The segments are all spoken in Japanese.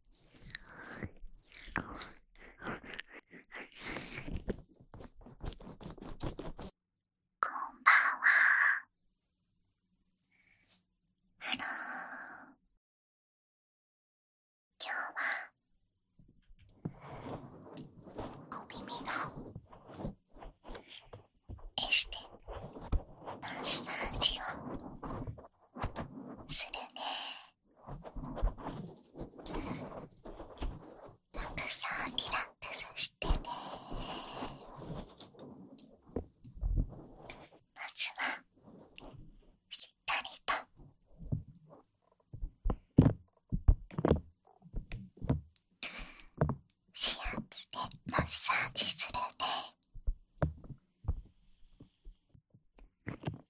こんばんは。ハロー。今日は、お耳のエステマッサージをするね。たくさんリラックスしてねまずはしっかりと視圧でマッサージするね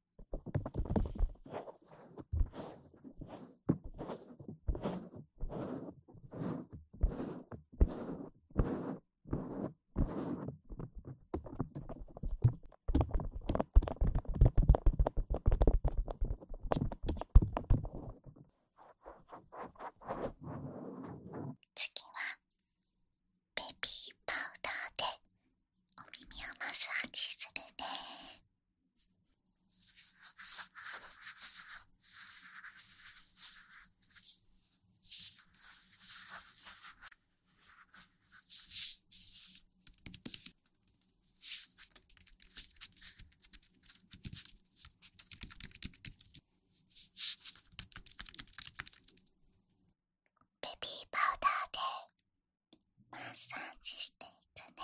次はベビーパウダーでお耳をマッサージするねベビーパウダーでマッサージしていくね。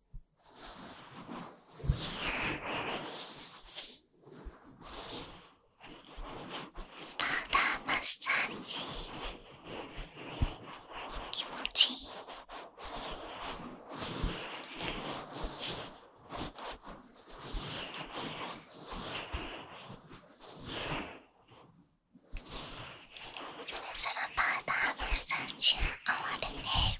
ダーマッサージ気持ちいいそろそろパウダーマッサージ終わるね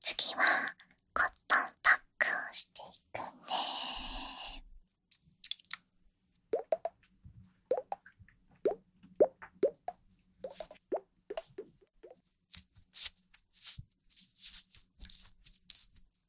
次はコットンパックをしていくね…んで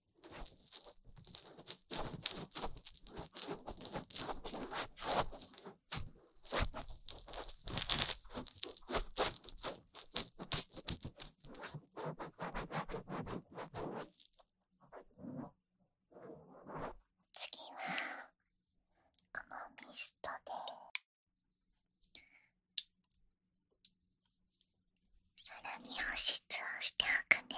次はこのミストでさらに保湿をしておくね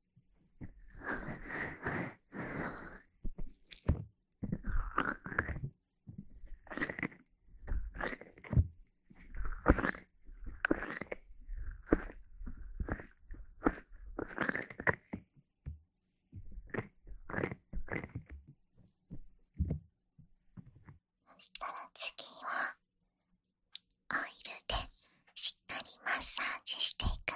したら次はオイルでしっかりマッサージしていくね。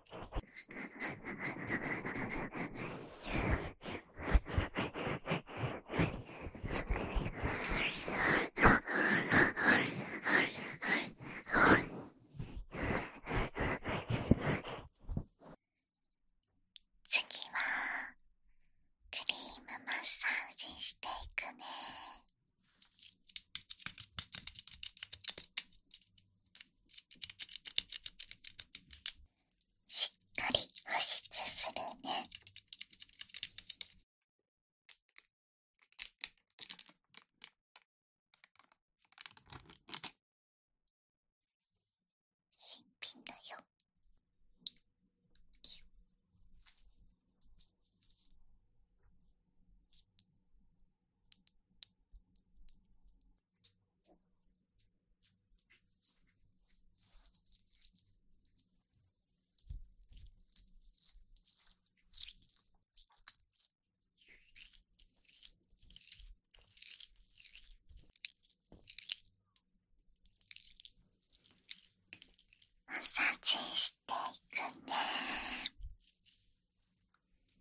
次はクリームマッサージしていくねしっかり保湿するね新品だよマッサージしていくね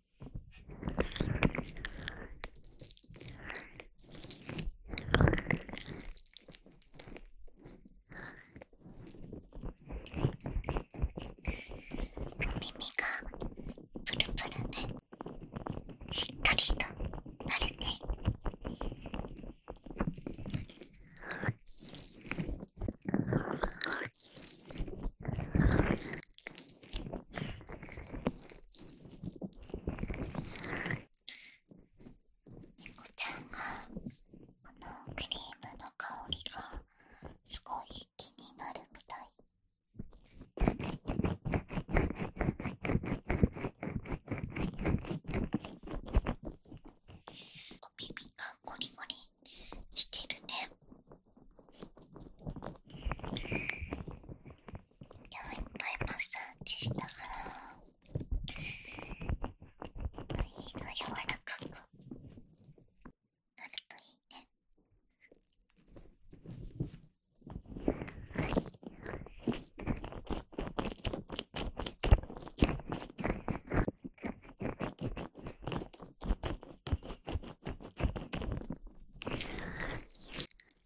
耳がプルプルで、しっとりとまるで。猫ちゃんがこのクリームの香りがすごい気になるみたい。お耳がゴリゴリしてるね。今いっぱいマッサージしたから耳が柔らかくなるといいね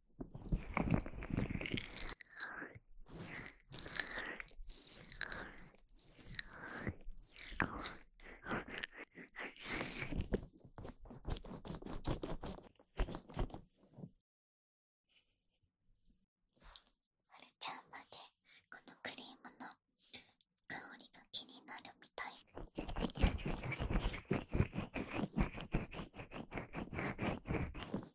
はるちゃんまでこのクリームの香りが気になるみたい。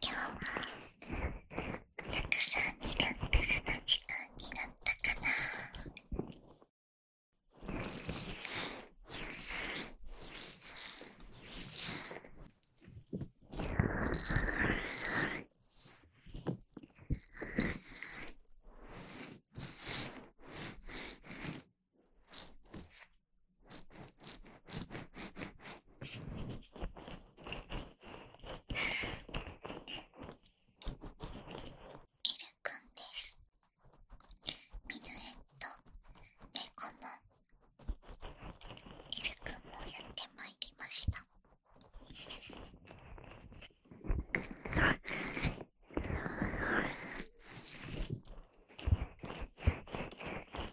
今日はお客さんになったその時間になったかなエルくんですミヌエットコのエルくんもやってまいりました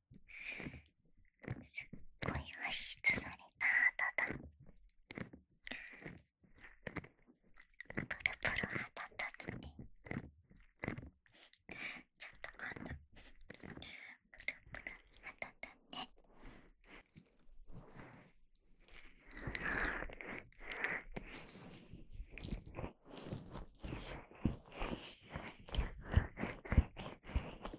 すっごい発出された肌だプルプル肌だってちょっと今度プルプル肌だね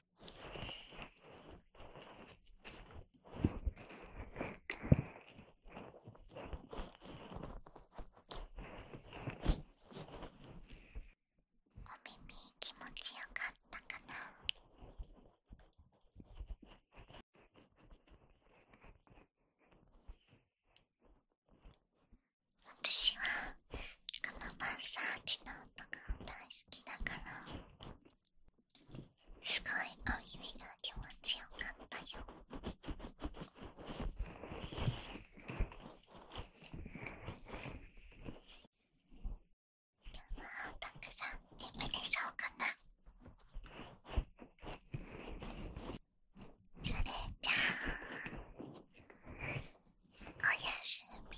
耳気持ちよかったかな私はこのマンサーチの音が大好きだからすごいおゆいが気持ちよかったよ。あたくさんリプでしょうかなそれじゃあおやすみ